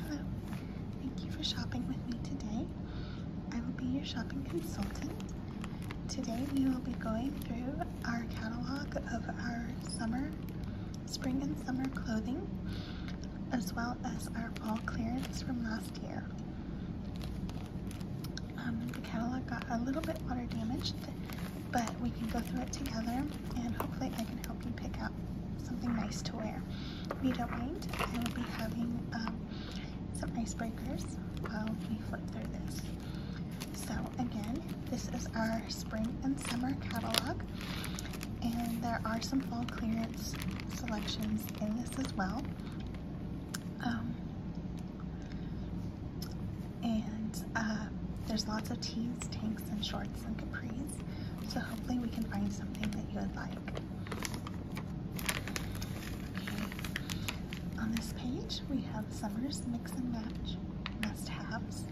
Hello. Thank you for shopping with me today. I will be your shopping consultant. Today we will be going through our catalog of our summer, spring and summer clothing, as well as our fall clearance from last year. Um, the catalog got a little bit water damaged, but we can go through it together and hopefully I can help you pick out something nice to wear. We don't mind. I will be having um, some icebreakers while we flip through this. So again, this is our spring and summer catalog and there are some fall clearance selections in this as well. Um, and uh, there's lots of tees, tanks, and shorts shorts capris. So hopefully we can find something that you would like. Okay. On this page, we have summer's mix and match must-haves.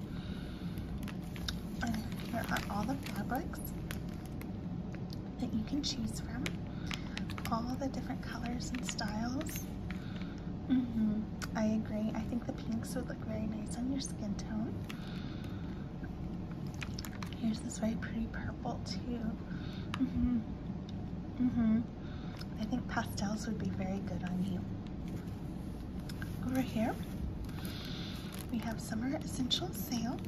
And here are all the fabrics that you can choose from. All the different colors and styles. Mm -hmm. I agree. I think the pinks would look very nice on your skin tone. Here's this very pretty purple too. Mm hmm mm hmm I think pastels would be very good on you. Over here, we have Summer essential Sale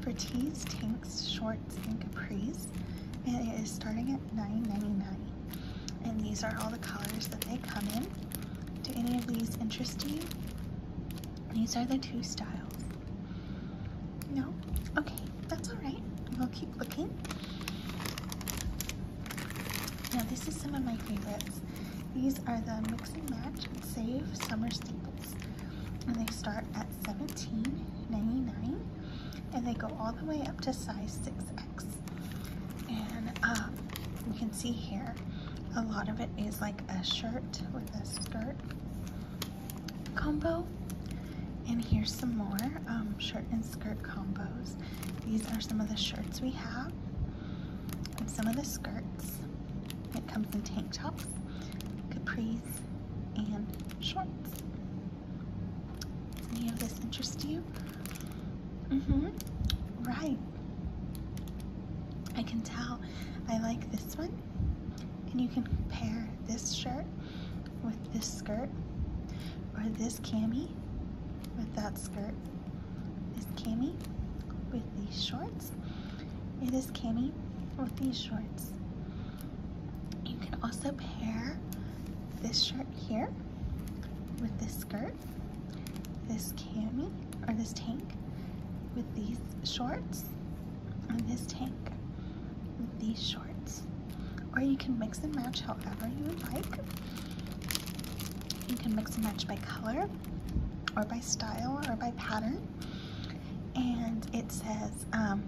for tees, tanks, shorts, and capris. And it is starting at $9.99. And these are all the colors that they come in. Do any of these interest you? These are the two styles. No? Okay, that's alright. We'll keep looking. Now, this is some of my favorites. These are the Mix and Match Save Summer Staples. And they start at seventeen ninety nine, and they go all the way up to size 6X. And uh, you can see here, a lot of it is like a shirt with a skirt combo. And here's some more um, shirt and skirt combos. These are some of the shirts we have and some of the skirts. It comes in tank tops, capris, and shorts. Does any of this interest you? you? mm Right. I can tell I like this one. And you can pair this shirt with this skirt or this cami with that skirt. This cami with these shorts. It is cami with these shorts. You can also pair this shirt here with this skirt this cami or this tank with these shorts and this tank with these shorts or you can mix and match however you would like you can mix and match by color or by style or by pattern and it says um,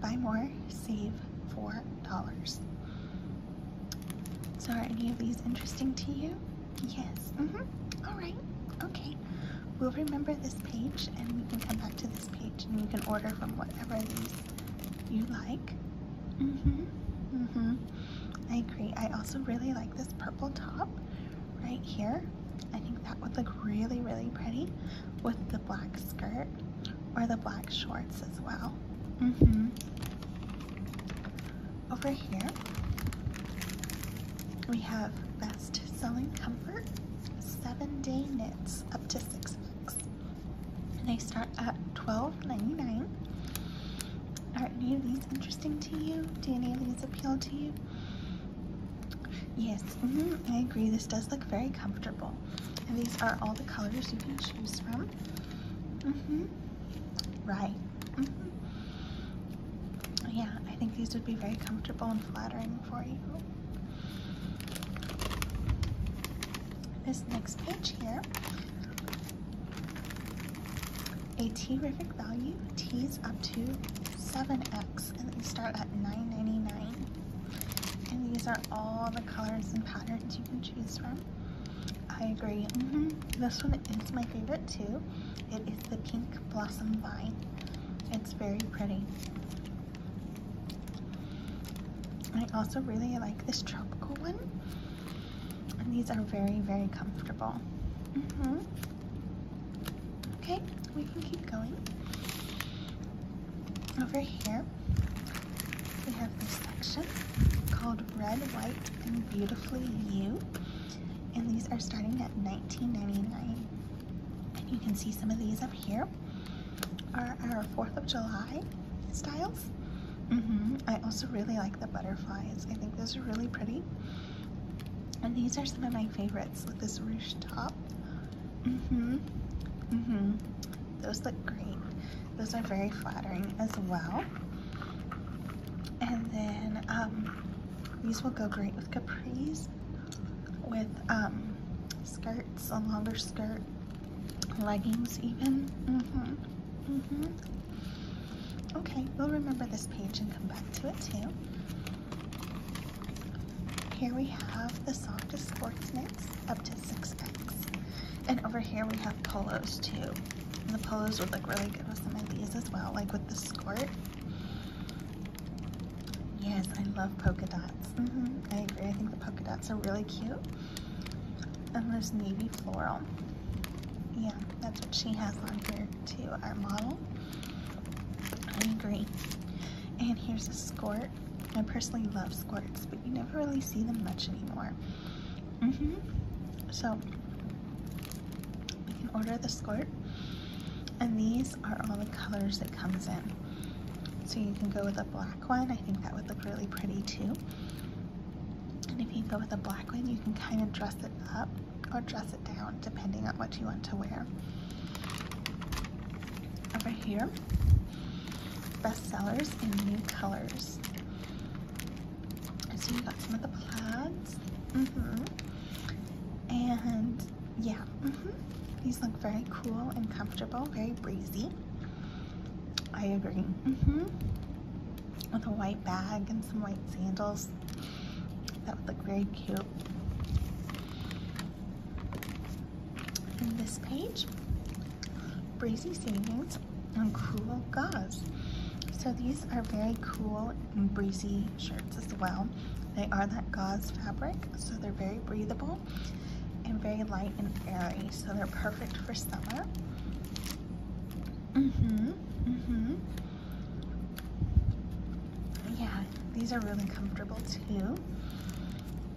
buy more save four dollars so are any of these interesting to you? Yes. Mm-hmm. right. Okay. We'll remember this page and we can come back to this page and you can order from whatever these you like. hmm hmm I agree. I also really like this purple top right here. I think that would look really, really pretty with the black skirt or the black shorts as well. hmm over here, we have Best Selling Comfort seven day knits up to six weeks. They start at $12.99. Are any of these interesting to you? Do any of these appeal to you? Yes, mm-hmm, I agree. This does look very comfortable. And these are all the colors you can choose from. Mm hmm Right. Mm hmm Yeah, I think these would be very comfortable and flattering for you. This next page here. A terrific value, T's up to 7X, and they start at nine ninety-nine. And these are all the colors and patterns you can choose from. I agree. Mm-hmm. This one is my favorite too. It is the Pink Blossom Vine. It's very pretty. I also really like this tropical one. And these are very, very comfortable. Mm-hmm. Okay, we can keep going. Over here, we have this section called Red, White, and Beautifully You. And these are starting at $19.99. And you can see some of these up here are our 4th of July styles. Mm-hmm. I also really like the butterflies. I think those are really pretty. And these are some of my favorites with this rouge top. hmm hmm Those look great. Those are very flattering as well. And then um, these will go great with capris, with um, skirts, a longer skirt, leggings even. Mm-hmm. Mm-hmm. Okay, we'll remember this page and come back to it too. Here we have the softest sports knits up to six packs. And over here we have polos too. And the polos would look really good with some of these as well, like with the skirt. Yes, I love polka dots. Mm-hmm, I agree, I think the polka dots are really cute. And there's navy floral. Yeah, that's what she has on here too, our model. I agree. And here's a skirt. I personally love skirts, but you never really see them much anymore. Mm -hmm. So we can order the skirt. And these are all the colors that comes in. So you can go with a black one. I think that would look really pretty too. And if you go with a black one, you can kind of dress it up or dress it down depending on what you want to wear. Over here, best sellers in new colors. So we got some of the plaids. Mm -hmm. And yeah, mm -hmm. these look very cool and comfortable, very breezy. I agree. Mm -hmm. With a white bag and some white sandals. That would look very cute. In this page, Breezy Savings um, cool gauze. So these are very cool and breezy shirts as well. They are that gauze fabric, so they're very breathable and very light and airy. So they're perfect for summer. hmm hmm Yeah, these are really comfortable too.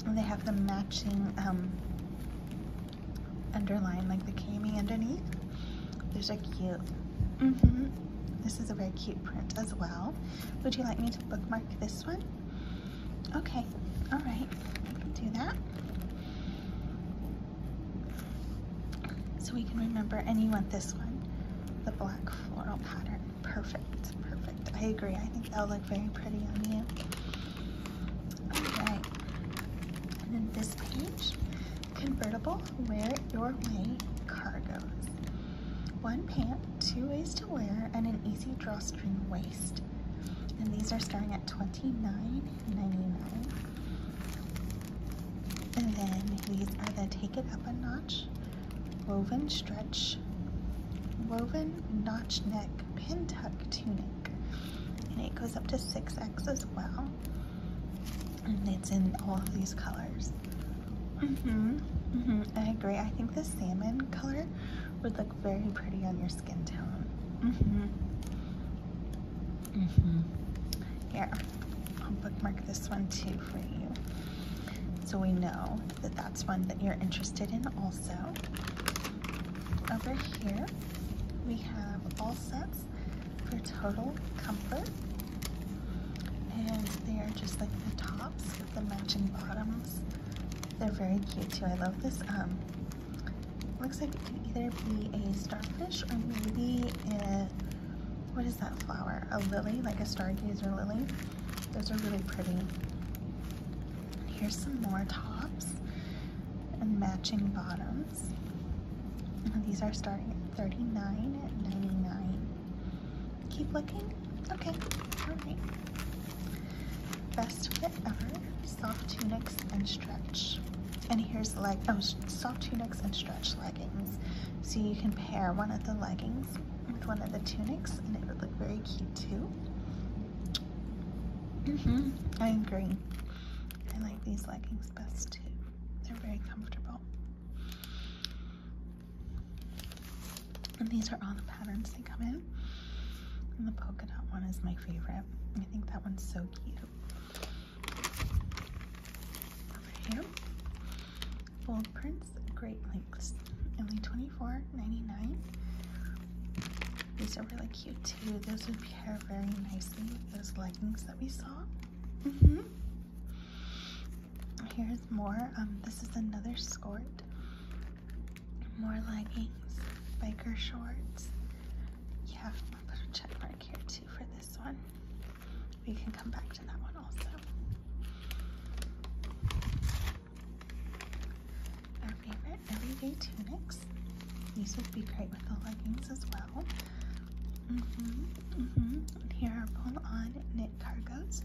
And they have the matching um, underline like the cami underneath. There's a cute. Mm-hmm, this is a very cute print as well. Would you like me to bookmark this one? Okay, all right, do that. So we can remember, and you want this one, the black floral pattern. Perfect, perfect. I agree. I think that'll look very pretty on you. Right. And then this page, convertible, wear your way, cargoes. One pant, two ways to wear, and an easy drawstring waist. And these are starting at $29.99. And then these are the Take It Up a Notch Woven Stretch Woven Notch Neck Pin Tuck Tunic and it goes up to 6x as well and it's in all of these colors hmm hmm i agree i think the salmon color would look very pretty on your skin tone hmm hmm here i'll bookmark this one too for you so we know that that's one that you're interested in also over here, we have all sets for total comfort. And they are just like the tops with the matching bottoms. They're very cute too. I love this. Um, looks like it can either be a starfish or maybe a, what is that flower? A lily, like a stargazer lily. Those are really pretty. Here's some more tops and matching bottoms. these are starting at $39.99. Keep looking? Okay, alright. Best fit ever, soft tunics and stretch. And here's like, oh, soft tunics and stretch leggings. So you can pair one of the leggings with one of the tunics and it would look very cute too hmm I agree. I like these leggings best too. They're very comfortable. And these are all the patterns they come in. And the polka dot one is my favorite. I think that one's so cute. Over here, bold prints, great lengths, only $24.99. These are really cute too. Those would pair very nicely with those leggings that we saw. Mm-hmm. Here's more. Um, this is another skirt. More leggings, biker shorts. Yeah, put a check mark here too for this one. We can come back to that one also. Our favorite everyday tunics. These would be great with the leggings as well. Mm-hmm, mm-hmm. here are pull-on knit cargos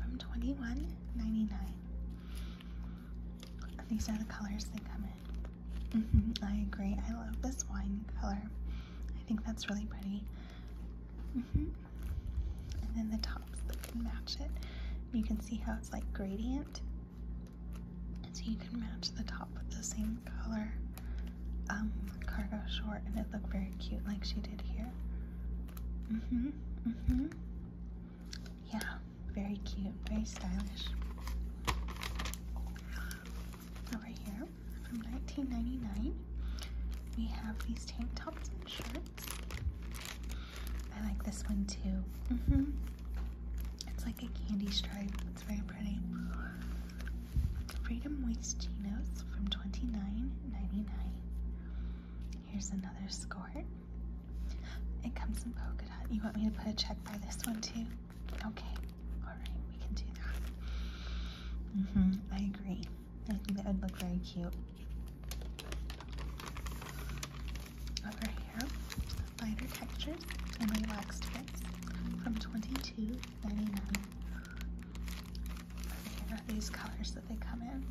from twenty one ninety nine. These are the colors they come in. Mm-hmm, I agree. I love this wine color. I think that's really pretty and then the tops that can match it. You can see how it's like gradient. So you can match the top with the same color um, cargo short and it looked very cute like she did here. hmm hmm Yeah, very cute, very stylish. Over here, from 1999, we have these tank tops and shirts. I like this one too. Mm-hmm. It's like a candy stripe. It's very pretty. Freedom Moist Chinos from 29 99 Here's another skirt. It comes in polka dot. You want me to put a check by this one too? Okay. All right. We can do that. Mm-hmm. I agree. I think that would look very cute. Over here, lighter textures and relaxed fits from twenty two ninety nine. these colors that they come in.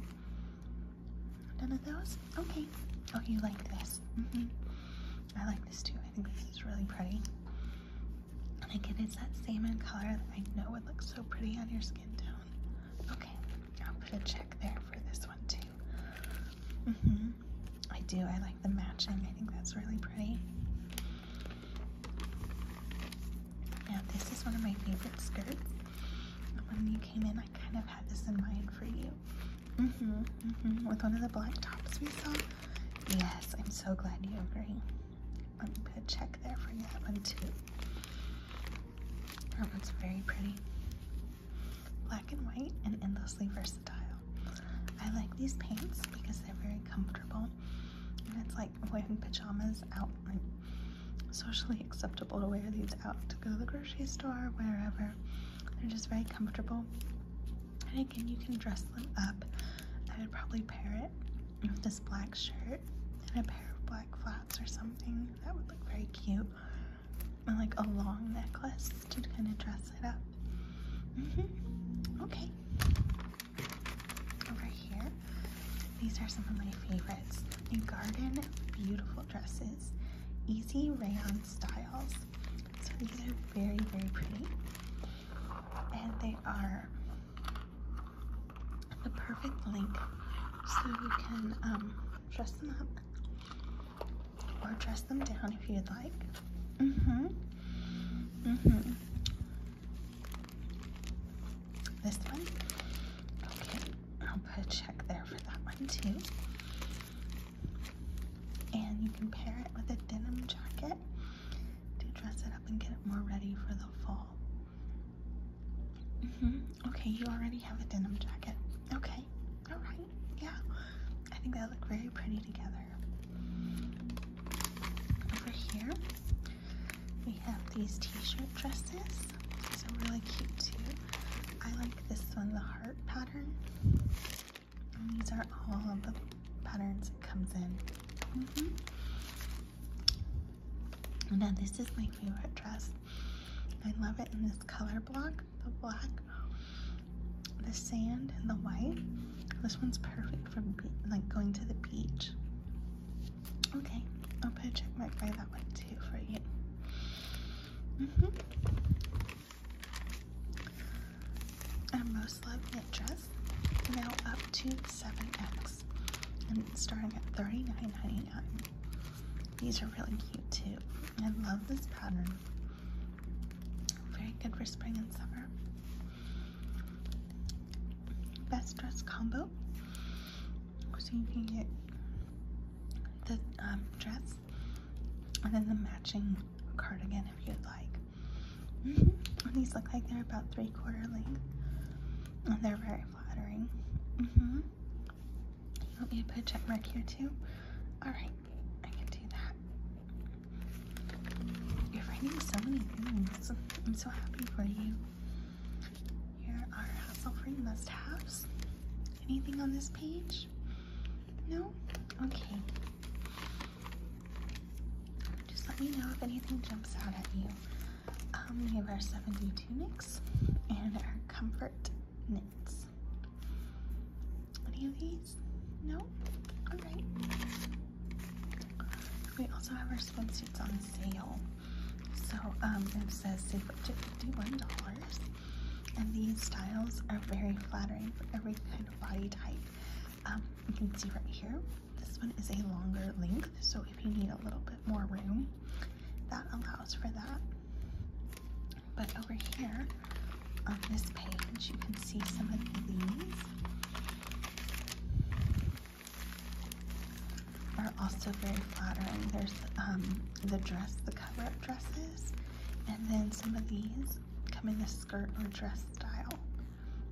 None of those? Okay. Oh, you like this. -hmm. I like this too. I think this is really pretty. I think it's that salmon color that I know would look so pretty on your skin. Okay, I'll put a check there for this one too. Mm-hmm. I do, I like the matching, I think that's really pretty. Now, this is one of my favorite skirts. When you came in, I kind of had this in mind for you. Mm -hmm, mm -hmm. With one of the black tops we saw. Yes, I'm so glad you agree. i me put a check there for that one too. That one's very pretty. Black and white and endlessly versatile. I like these pants because they're very comfortable and it's like wearing pajamas out, like socially acceptable to wear these out to go to the grocery store, or wherever. They're just very comfortable. And again, you can dress them up. I would probably pair it with this black shirt and a pair of black flats or something. That would look very cute. And like a long necklace to kind of dress it up. Mm-hmm. Okay. Over here, these are some of my favorites. A garden beautiful dresses, easy rayon styles. So these are very, very pretty. And they are the perfect length so you can um, dress them up or dress them down if you'd like. hmm hmm This one. Okay. I'll put a check there for that one too. And you can pair it with a denim jacket to dress it up and get it more ready for the fall. Mm-hmm. Okay, you already have a denim jacket. Okay, all right, yeah. I think they look very pretty together. Over here, we have these t-shirt dresses. These are really cute too. I like this one, the heart pattern. these are all the patterns it comes in. Mm-hmm now this is my favorite dress. I love it in this color block, the black, the sand, and the white. This one's perfect for like going to the beach. Okay, I'll put a check mark by that one too for you. Mm most loved dress, now up to 7X and starting at $39.99. These are really cute too. I love this pattern. Very good for spring and summer. Best dress combo. So you can get the um, dress and then the matching cardigan if you'd like. Mm These look like they're about three quarter length and they're very flattering. Mm hmm You me to put a check mark here too? Alright, I can do that. You're writing so many things. I'm so happy for you. Here are hassle-free must-haves. Anything on this page? No? Okay. Just let me know if anything jumps out at you. Um, we have our 70 tunics and our comfort knits. Any of these? No? Alright. We also have our swimsuits on sale. So um, it says save up to $51. And these styles are very flattering for every kind of body type. Um, you can see right here, this one is a longer length, so if you need a little bit more room, that allows for that. But over here on this page, you can see some of these are also very flattering. There's um, the dress, the cover-up dresses, and then some of these come in the skirt or dress style.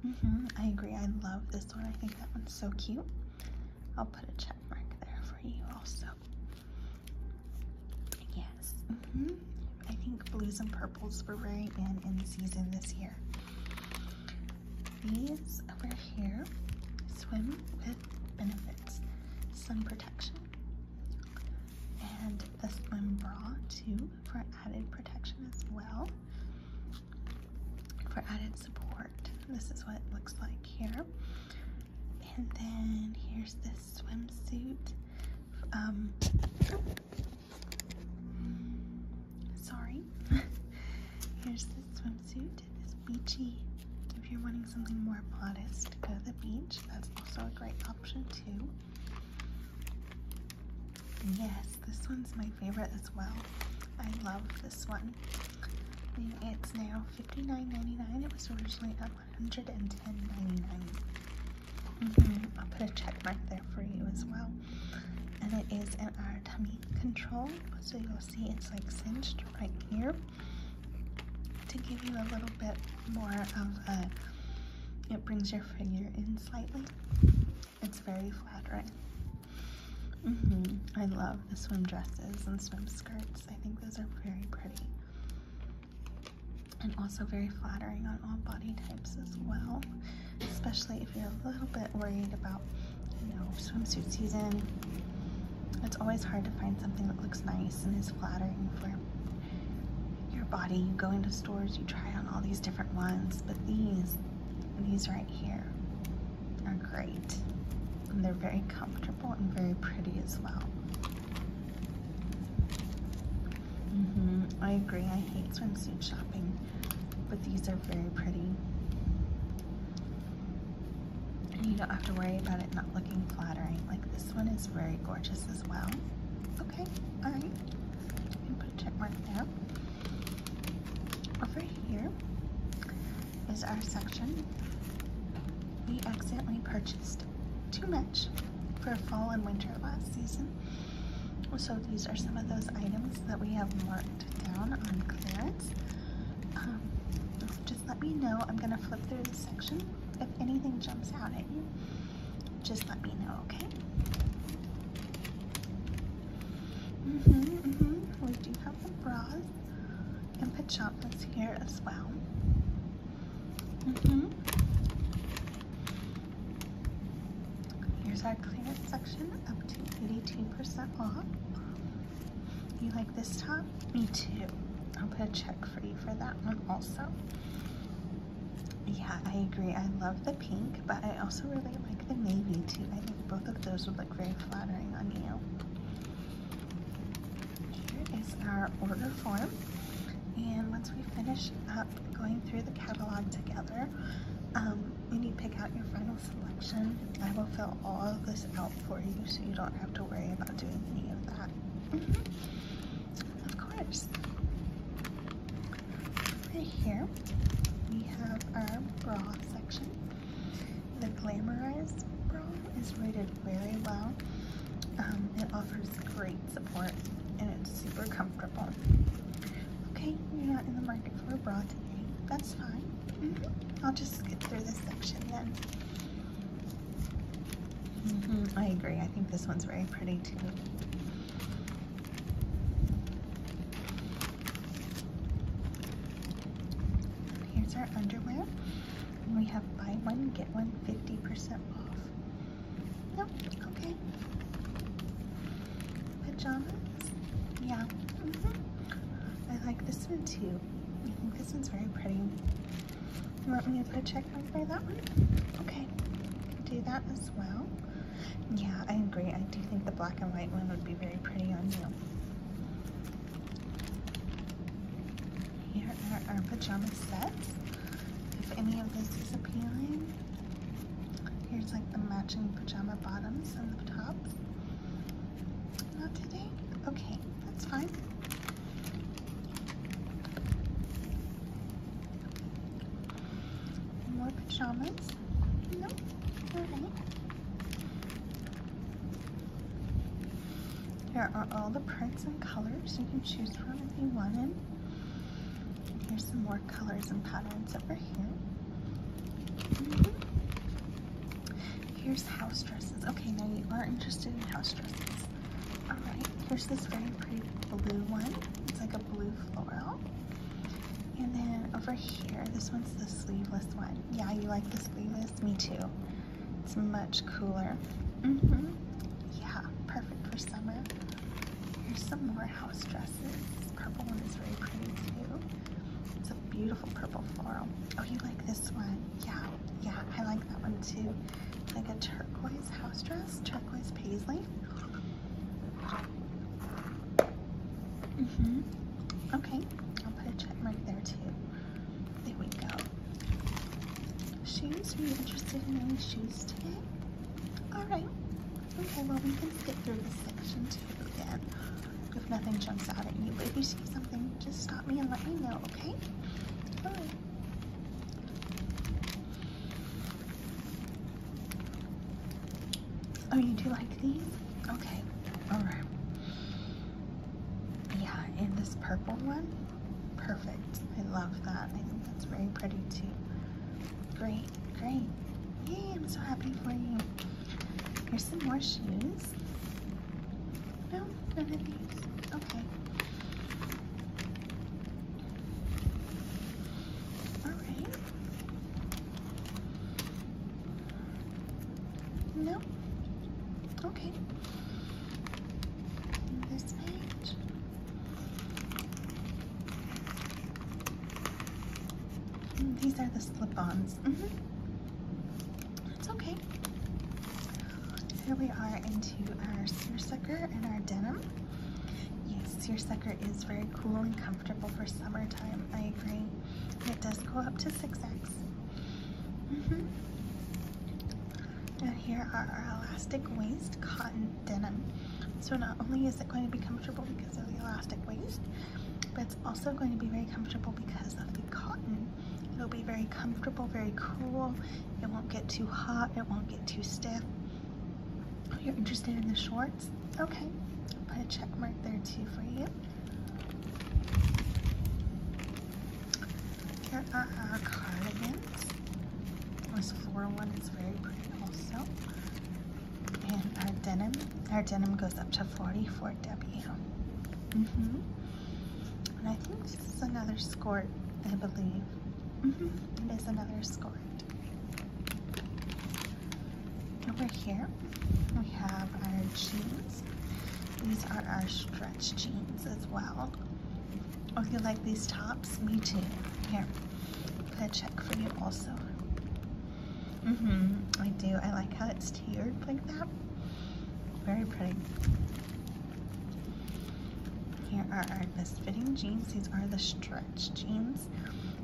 Mm-hmm, I agree. I love this one. I think that one's so cute. I'll put a check mark there for you also. Yes, -hmm. I think blues and purples were very in in season this year. These over here swim with benefits, sun protection, and the swim bra too for added protection as well for added support. This is what it looks like here. And then here's this swimsuit. Um, sorry. here's this swimsuit. It's beachy. If you're wanting something more modest, go to the beach. That's also a great option too. Yes, this one's my favorite as well. I love this one it's now $59.99. It was originally at $110.99. Mm-hmm. I'll put a check mark there for you as well. And it is in our tummy control. So you'll see it's like cinched right here to give you a little bit more of a, it brings your figure in slightly. It's very flattering. Mm-hmm. I love the swim dresses and swim skirts. I think those are very pretty. And also very flattering on all body types as well, especially if you're a little bit worried about, you know, swimsuit season. It's always hard to find something that looks nice and is flattering for your body. You go into stores, you try on all these different ones, but these these right here are great. And they're very comfortable and very pretty as well. Mm-hmm. I agree, I hate swimsuit shopping, but these are very pretty. you don't have to worry about it not looking flattering. Like this one is very gorgeous as well. Okay, all right. You can put a check mark there. Over here is our section. We accidentally purchased too much for fall and winter last season. So these are some of those items that we have marked down on clearance. Um, just let me know. I'm going to flip through the section. If anything jumps out at you, just let me know, okay? Mm -hmm, mm -hmm. We do have some bras and pajamas here as well. Mm -hmm. Here's our clearance section up to 82% off. You like this top? Me too. I'll put a check for you for that one also. Yeah, I agree. I love the pink, but I also really like the navy too. I think both of those would look very flattering on you. Here is our order form. And once we finish up going through the catalog together, um, when you pick out your final selection, I will fill all of this out for you so you don't have to worry about doing any of that. Mm-hmm. Of course. Right here, we have our bra section. The glamorized bra is rated very well. Um, it offers great support and it's super comfortable. Okay, you're not in the market for a bra That's fine. Mm-hmm. I'll just skip through this section then. Mm-hmm, I agree. I think this one's very pretty too. Here's our underwear. We have buy one, get one 50% off. Nope, okay. Pajamas? Yeah. -hmm. I like this one too. I think this one's very pretty. You want me to put a check on for that one? Okay, do that as well. Yeah, I agree. I do think the black and white one would be very pretty on you. Here are our pajama sets. If any of this is appealing. Here's like the matching pajama bottoms and the top. Not today? Okay, that's fine. More pajamas? No? Alright. Here are all the prints and colors you can choose from if you wanted. Here's some more colors and patterns over here. Mm-hmm. Here's house dresses. Okay, now you are interested in house dresses. Alright, here's this very pretty blue one. It's like a blue floral. And then over here, this one's the sleeveless one. Yeah, you like the sleeveless? Me too. It's much cooler. Mm-hmm. Yeah, perfect for summer. Here's some more house dresses. This purple one is very pretty too. It's a beautiful purple floral. Oh, you like this one? Yeah, yeah, I like that one too. like a turquoise house dress, turquoise paisley. Mm -hmm. Okay, I'll put a check mark there too. There we go. Shoes, are you interested in any shoes today? Alright. Okay, well we can skip through this section too again. If nothing jumps out at you, but if you see something, just stop me and let me know, okay? Bye. Oh, you do like these? Okay. All right. Yeah, and this purple one, perfect. I love that. I think that's very pretty too. Great, great. Yay, I'm so happy for you. Here's some more shoes. No, none of these. Okay. All right. No. Okay. This page. These are the slip-ons. It's mm-hmm. okay. Here we are into our seersucker and our denim. Yes, your sucker is very cool and comfortable for summertime. I agree. It does go up to 6X. Mm-hmm. And here are our elastic waist cotton denim. So not only is it going to be comfortable because of the elastic waist, but it's also going to be very comfortable because of the cotton. It'll be very comfortable, very cool. It won't get too hot. It won't get too stiff. Oh, you're interested in the shorts? Okay. I'll put a check mark there too for you. Here are our cardigans. This floral one is very pretty also. And our denim. Our denim goes up to 44W. hmm And I think this is another skirt, I believe. Mm hmm It is another skirt. Over here, we have our jeans. These are our stretch jeans as well. Oh, you like these tops? Me too. Here, put a check for you also. hmm I do. I like how it's tiered like that. Very pretty. Here are our best fitting jeans. These are the stretch jeans.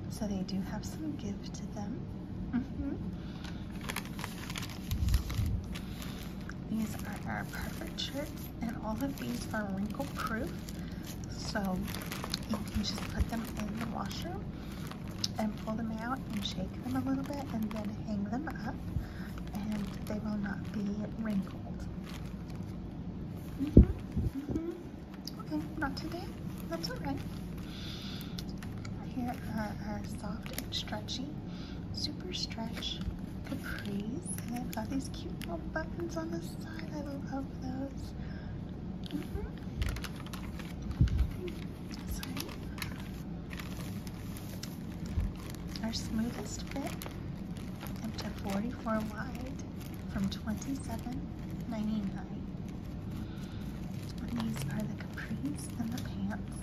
So they do have some give to them. Mm-hmm. These are our perfect shirts and all of these are wrinkle proof. So you can just put them in the washer and pull them out and shake them a little bit and then hang them up and they will not be wrinkled. Mm-hmm. Mm-hmm. Okay, not today. That's alright. Here are our soft and stretchy, super stretch capris. And I've got these cute little buttons on the side. I love those. Mm-hmm. Our smoothest fit up to 44 wide from 27.99. These are the capris and the pants.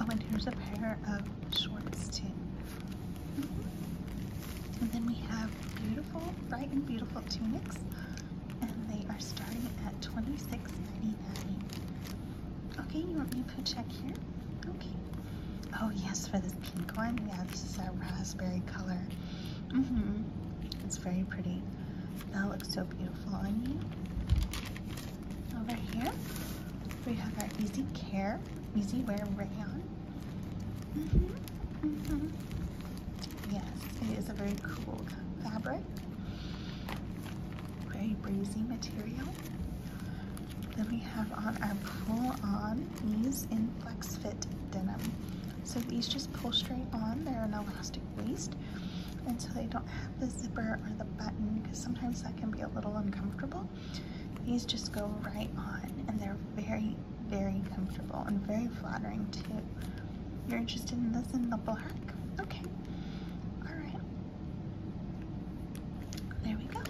Oh, and here's a pair of shorts too. Mm-hmm. And then we have beautiful, bright and beautiful tunics, and they are starting at 26.99. Okay, you want me to put check here? Okay. Oh yes, for this pink one. Yeah, this is our raspberry color. Mm-hmm. It's very pretty. That looks so beautiful on you. Over here, we have our Easy Care, Easy Wear Rayon. Mm-hmm. Mm-hmm. Yes, it is a very cool fabric. Very breezy material. Then we have on our pull-on knees in flex fit denim. So these just pull straight on. They're an elastic waist. And so they don't have the zipper or the button because sometimes that can be a little uncomfortable. These just go right on and they're very, very comfortable and very flattering too. You're interested in this in the black? Okay. All right. There we go.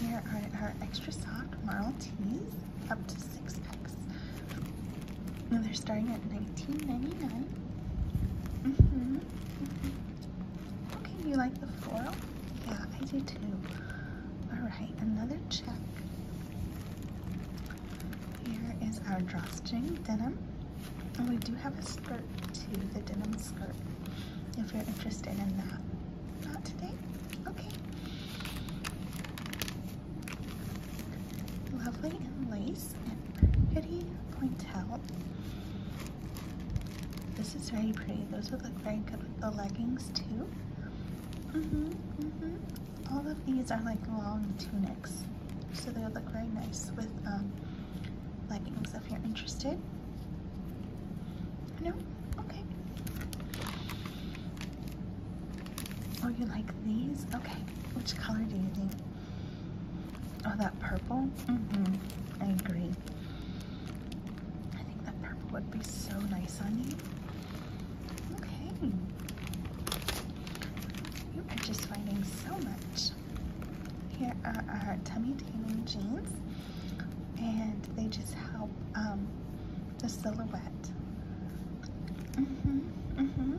Here are our extra soft Marl teas, up to six packs. And they're starting at $19.99. Mm-hmm. Okay, you like the floral? Yeah, I do too. All right, another check. Here is our drawstring denim. And we do have a skirt too, the denim skirt, if you're interested in that. Not today? Okay. Lovely in lace and pretty pointel. This is very pretty. Those would look very good with the leggings too. hmm hmm All of these are like long tunics. So they would look very nice with um, leggings if you're interested. I Okay. Oh, you like these? Okay. Which color do you think? Oh, that purple? Mm-hmm. I agree. I think that purple would be so nice on you. Okay. You are just finding so much. Here are our tummy-taming jeans and they just help um, the silhouette. Mm-hmm, mm-hmm.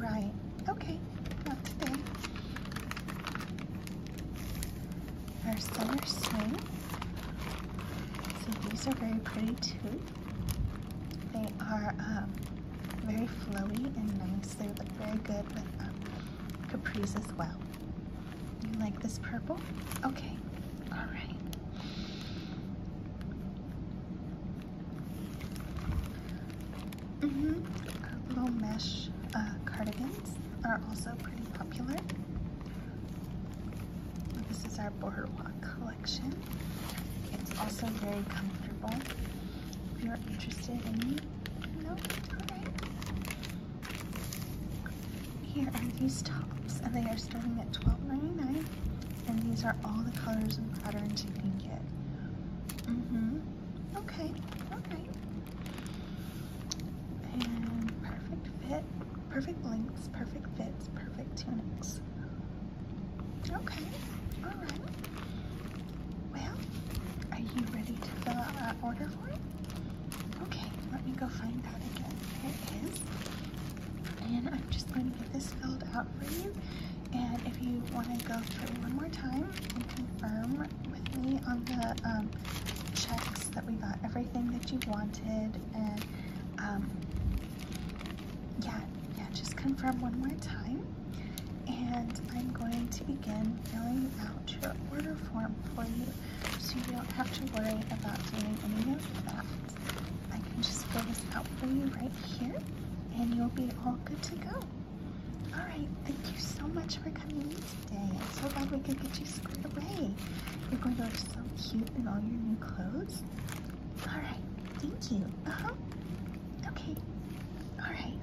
Right. Okay. Not today. Our summer swing. So these are very pretty too. They are um, very flowy and nice. They look very good with um, capris as well. You like this purple? Okay, all right. -hmm. Our little mesh uh, cardigans are also pretty popular. This is our Boardwalk collection. It's also very comfortable. If you're interested in, here are these tops, and they are starting at $12.99. And these are all the colors and patterns you can get. hmm Okay, alright. And perfect fit, perfect lengths, perfect fits, perfect tunics. Okay, alright. Well, are you ready to fill out that order form? Okay, let me go find that again. There it is. And I'm just going to get this filled out for you. And if you want to go through one more time and confirm with me on the um, checks that we got everything that you wanted and um, yeah, yeah, just confirm one more time. And I'm going to begin filling out out your order form for you so you don't have to worry about doing any of that. I can just fill this out for you right here and you'll be all good to go. Alright, thank you so much for coming in today. I'm so glad we could get you squared away. You're going to look so cute in all your new clothes. Alright, thank you. Uh-huh. Okay. Alright.